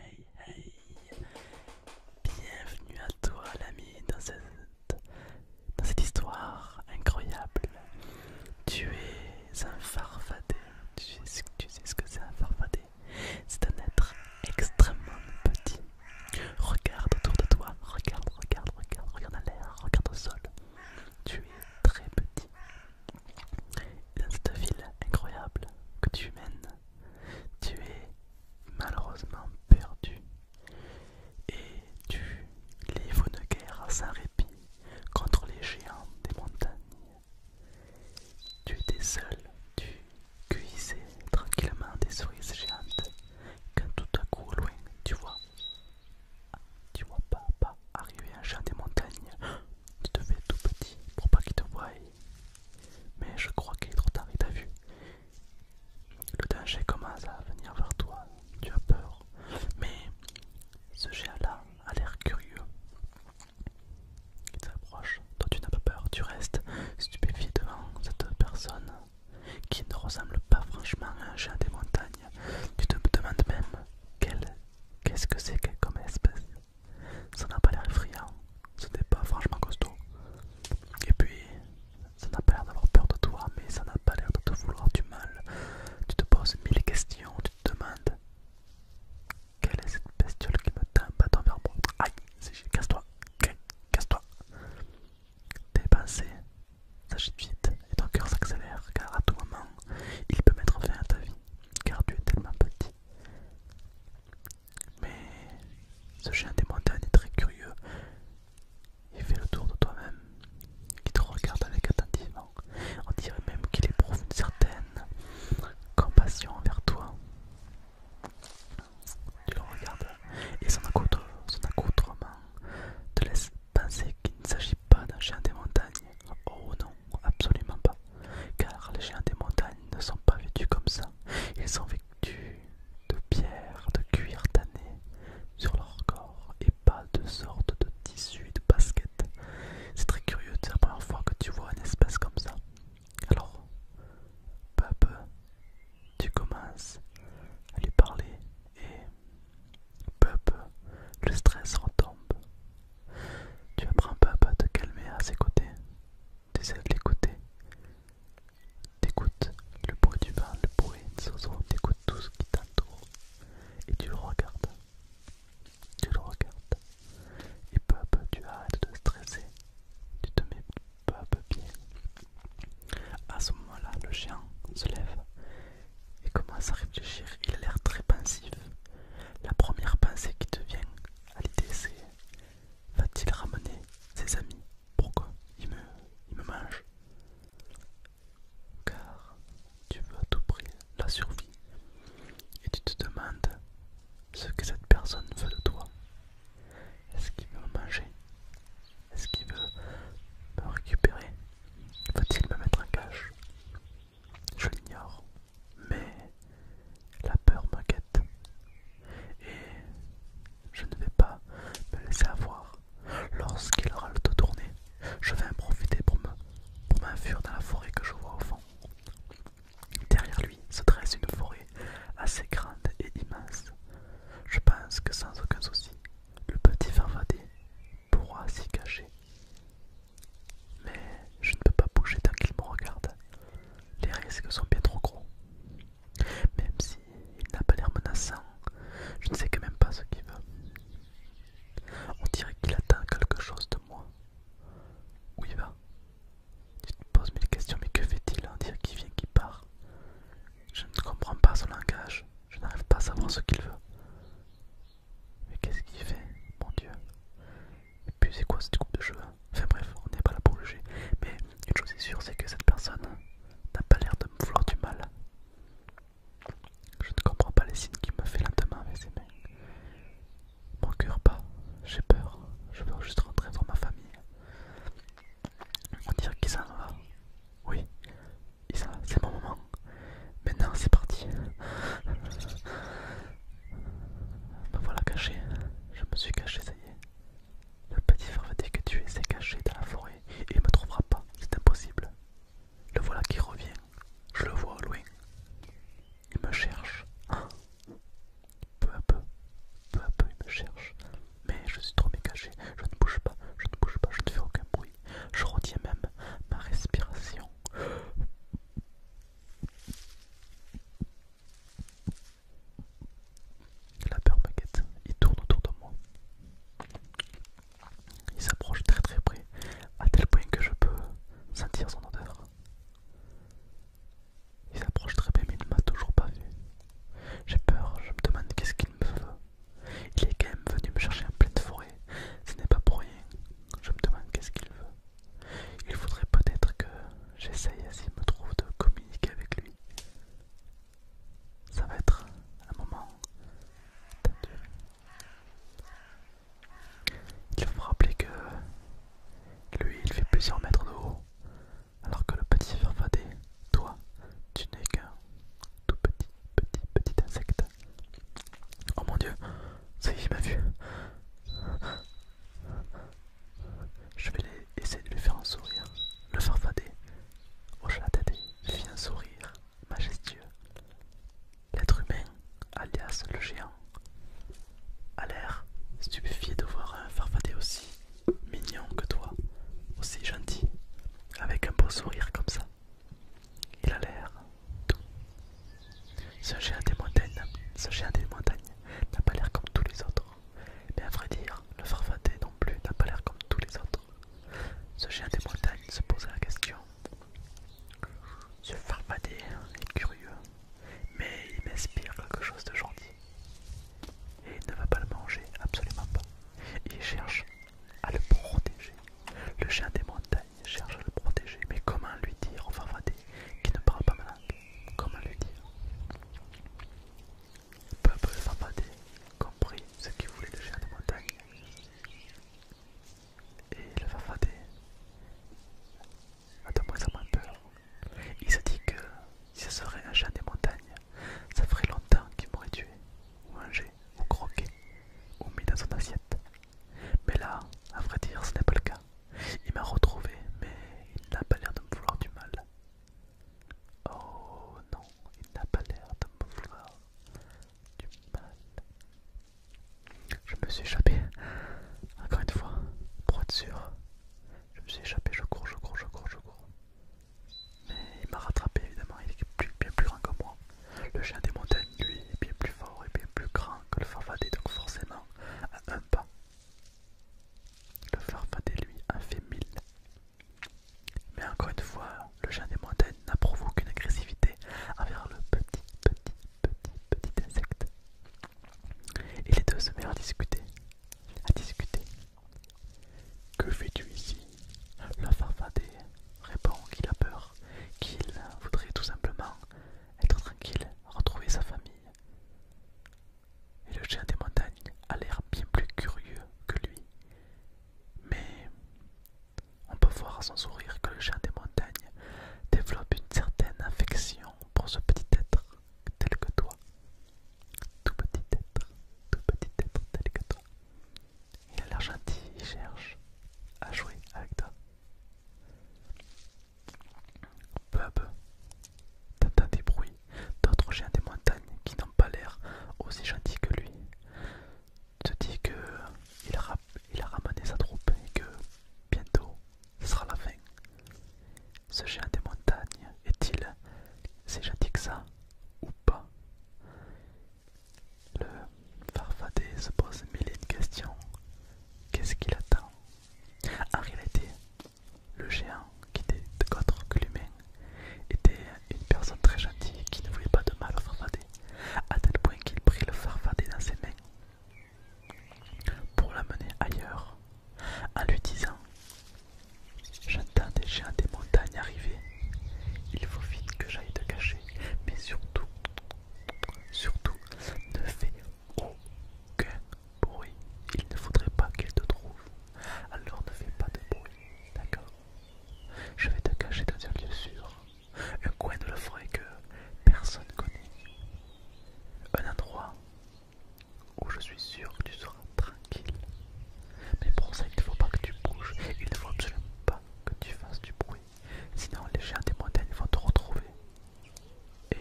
Hey, hey, hey! Bienvenue à toi, l'ami, dans cette, dans cette histoire incroyable. Tu es c'est un farfadet. Tu sais, ce que c'est un farfadet C'est un être extrêmement petit. Regarde autour de toi, regarde, regarde, regarde, regarde à l'air, regarde au sol. Tu es très petit. Et dans cette ville incroyable que tu mènes, tu es malheureusement perdu. Et tu livres une guerre sans répit contre les géants des montagnes tu étais seul, tu cuisais tranquillement des cerises géantes, quand tout à coup, loin, tu vois, tu vois pas, arriver un chat des montagnes. Tu te fais tout petit pour pas qu'il te voie, mais je crois qu'il est trop tard, il t'a vu. Le danger commence à venir vers toi, tu as peur, mais ce géant-là a l'air curieux qui s'approche, toi tu n'as pas peur, tu restes stupéfié devant cette personne qui ne ressemble pas franchement à un chien des montagnes. Tu te demandes même qu'est-ce que c'est qu'elle comme espèce. Ça n'a pas l'air effrayant, ce n'est pas franchement costaud. Et puis, ça n'a pas l'air d'avoir peur de toi, mais ça n'a pas l'air de te vouloir du mal. Tu te poses mille questions, tu te demandes quelle est cette bestiole qui me bâton vers moi Aïe, c'est casse-toi, casse-toi. pensées vite et ton cœur s'accélère car à tout moment, il peut mettre fin à ta vie car tu es tellement petit. Mais ce chien des montagnes est très curieux. Il fait le tour de toi-même, qui te regarde avec attentivement. On dirait même qu'il éprouve une certaine compassion envers toi. Tu le regardes et son accoutrement te laisse penser qu'il ne s'agit pas d'un chien des montagnes. Oh non, absolument pas. Car les chiens des montagnes ne sont pas vêtus comme ça. Ils sont vêtus de pierre, de cuir tanné sur leur corps pas de sorte de tissu de basket. C'est très curieux, c'est la première fois que tu vois un espèce comme ça. Alors, peu tu commences à lui parler et peu le stress retombe. Tu apprends peu à peu à te calmer à ses côtés. Tu essaies de l'écouter. T'écoutes le bruit du vent, le bruit des oiseaux, t'écoutes tout ce qui t'entoure et tu le regardes. Tu le regardes et peu à peu tu arrêtes de stresser. Tu te mets peu à peu bien. À ce moment-là, le chien se lève et commence à réfléchir. Il a l'air très pensif. La première pensée qui te vient à l'idée, c'est va-t-il ramener ses amis Pourquoi il me, il me mange car tu veux à tout prix la survie et tu te demandes ce que cette personne veut de toi. Est-ce qu'il veut manger Est-ce qu'il veut me récupérer Veut-il me mettre en cache Je l'ignore, mais la peur m'inquiète et je ne vais pas me laisser avoir lorsqu'il aura le dos tourné, je vais en profiter pour m'enfuir dans la forêt que je vois au fond. Derrière lui se dresse une forêt assez grande et immense. Je pense que sans aucun souci, le petit farfadet pourra s'y cacher. Mais je ne peux pas bouger tant qu'il me regarde. Les risques sont bien trop gros. Même s'il n'a pas l'air menaçant, je ne sais quand même pas ce qu'il veut. On dirait qu'il atteint quelque chose de moi. Où il va Tu te poses mille questions, mais que fait-il On dirait qu'il vient, qu'il part. Je ne comprends pas son langage. Je n'arrive pas à savoir ce qu'il veut. Mais qu'est-ce qu'il fait Mon Dieu. Et puis c'est quoi cette coupe de cheveux Enfin bref, on n'est pas là pour juger. Mais une chose est sûre, c'est que cette personne n'a pas l'air de me vouloir du mal. Je ne comprends pas les signes qui me fait lentement avec ses mains. Mon pas, j'ai peur, je veux juste rentrer dans ma famille. On dirait qu'il s'en va. Oui, il s'en va, c'est mon moment. Maintenant c'est parti. Me voilà caché, je me suis caché, ça y est. Le petit dire que tu es s'est caché dans la forêt et il me trouvera pas, c'est impossible. Le voilà qui revient. Je le vois au loin. Il me cherche. Ah. Peu à peu, peu à peu, il me cherche. Mais je suis trop mécaché. Je ne bouge pas, je ne bouge pas, je ne fais aucun bruit. Je retiens même ma respiration. La peur me Il tourne autour de moi. Il s'approche très très près, à tel point que je peux sentir son odeur. Il s'approche très près, mais il ne m'a toujours pas vu. J'ai peur, je me demande qu'est-ce qu'il me veut. Il est quand même venu me chercher en pleine forêt, ce n'est pas pour rien. Je me demande qu'est-ce qu'il veut. Il faudrait peut-être que j'essaye s'il me trouve de communiquer avec lui ça va être un moment tendu. Il faut rappeler que lui, il fait plusieurs mètres de haut, alors que le petit farfadet, toi, tu n'es qu'un tout petit, petit, petit insecte. Oh mon dieu, ça y est, il m'a vu. Je vais essayer de lui faire un sourire, le farfadet, au la fit un sourire majestueux. L'être humain, alias le géant, a l'air stupéfié de voir un farfadet aussi mignon que toi, aussi gentil, avec un beau sourire comme ça. Il a l'air tout. Ce des montagnes, ce géant des montagnes n'a pas l'air comme tous les autres mais à vrai dire, le farfadet non plus n'a pas l'air comme tous les autres. Ce chien des montagnes se posait la question. Ce farfadet est curieux, mais il m'inspire quelque chose de gentil. Et il ne va pas le manger, absolument pas. Il cherche à le protéger. Le chien des montagnes cherche à le protéger, mais comment lui dire au farfadet qui ne parle pas malade Comment lui dire peu à peu, comprit ce qu'il voulait de géant des montagnes. Et le Fafadé a de moins en moins peur. Il se dit que si ce serait un géant des montagnes, ça ferait longtemps qu'il m'aurait tué, ou mangé, ou croqué, ou mis dans son assiette. Mais là, à vrai dire, ce n'est pas le cas. Il m'a retrouvé, mais il n'a pas l'air de me vouloir du mal. Oh non, il n'a pas l'air de me vouloir du mal. Je me suis échappé. Encore une fois, pour être sûr. Je me suis échappé, je cours, je cours, je cours, je cours. Mais il m'a rattrapé évidemment, il est bien plus grand que moi. Le chien des montagnes, lui, est bien plus fort et bien plus grand que le farfadet, donc forcément à un pas. Le farfadet, lui, a fait mille. Mais encore une fois, le jeune des montagnes n'a provoqué agressivité envers le petit, petit, petit, petit insecte. Et les deux se mettent à discuter, à discuter. Que fais-tu ici Le farfadet répond qu'il a peur, qu'il voudrait tout simplement être tranquille, retrouver sa famille et le chien des montagnes a l'air bien plus curieux que lui. Mais on peut voir à son sourire que le chien des montagnes développe une certaine affection pour ce petit être tel que toi. Tout petit être, tout petit être tel que toi. Il a l'air gentil, il cherche à jouer avec toi. Peu à t'entends des bruits d'autres géants des montagnes qui n'ont pas l'air aussi gentils que lui. Se dit que il a, ramené sa troupe et que bientôt ce sera la fin. Ce géant des montagnes est-il si gentil que ça ou pas Le farfadet se pose mille et une questions. Qu'est-ce qu'il attend En réalité, le géant, qui était autre que l'humain, était une personne très gentille qui ne voulait pas de mal au farfadet, à tel point qu'il prit le farfadet dans ses mains pour l'amener ailleurs, en lui disant J'entends des géants des montagnes arriver, il faut vite que j'aille te cacher, mais surtout, surtout, ne fais aucun bruit. Il ne faudrait pas qu'elle te trouve. Alors ne fais pas de bruit, d'accord Je vais te cacher dans un lieu sûr, un coin de le forêt que personne connaît, un endroit où je suis sûr que tu seras tranquille. Mais pour ça, il ne faut pas que tu bouges, il ne faut absolument pas que tu fasses du bruit, sinon les chiens des montagnes vont te retrouver et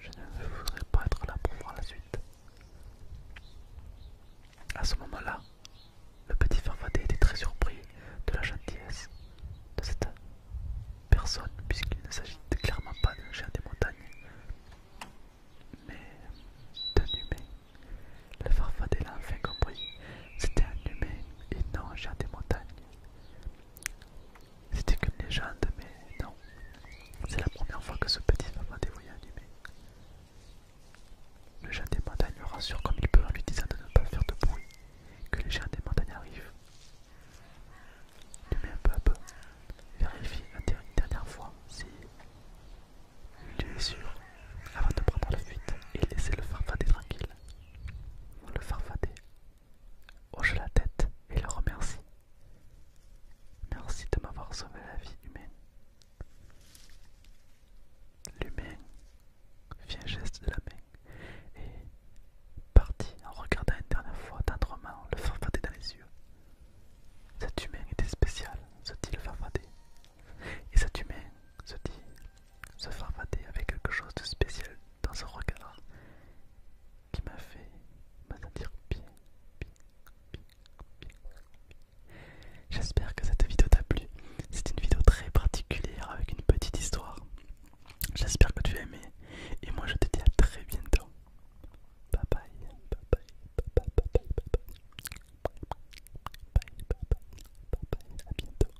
je ne voudrais pas être là pour voir la suite. À ce moment-là, le petit Farfadet était très surpris de la gentillesse de cette personne, puisqu'il ne s'agit clairement pas d'un chien des montagnes, mais d'un humain. Le Farfadet l'a enfin compris, c'était un humain et non un chien des montagnes. C'était qu'une légende, mais non. C'est la première fois que ce petit papa des voyait animé. Le géant des montagnes le rassure comme il peut en lui disant de ne pas faire de bruit, que les géants des montagnes arrivent. Lui un peu à peu, vérifie une dernière fois si lui est sûr, avant de prendre la fuite et laisser le farfadet tranquille. Le farfadet hoche la tête et le remercie. Merci de m'avoir sauvé la vie humaine. L'humain fit un geste de la main et partit en regardant une dernière fois tendrement le farfadet dans les yeux. Cet humain était spéciale, se dit le farfadet. Et cet humain, se dit, ce farfadet avait quelque chose de spécial dans son regard qui m'a fait me bien, J'espère que cette vidéo t'a plu. C'est une vidéo très particulière avec une petite histoire. J'espère que tu as aimé. Et moi je te dis à très bientôt. Bye bye. Bye bye. Bye bye. Bye bye. Bye bye. Bye bye. Bye bye. À bientôt.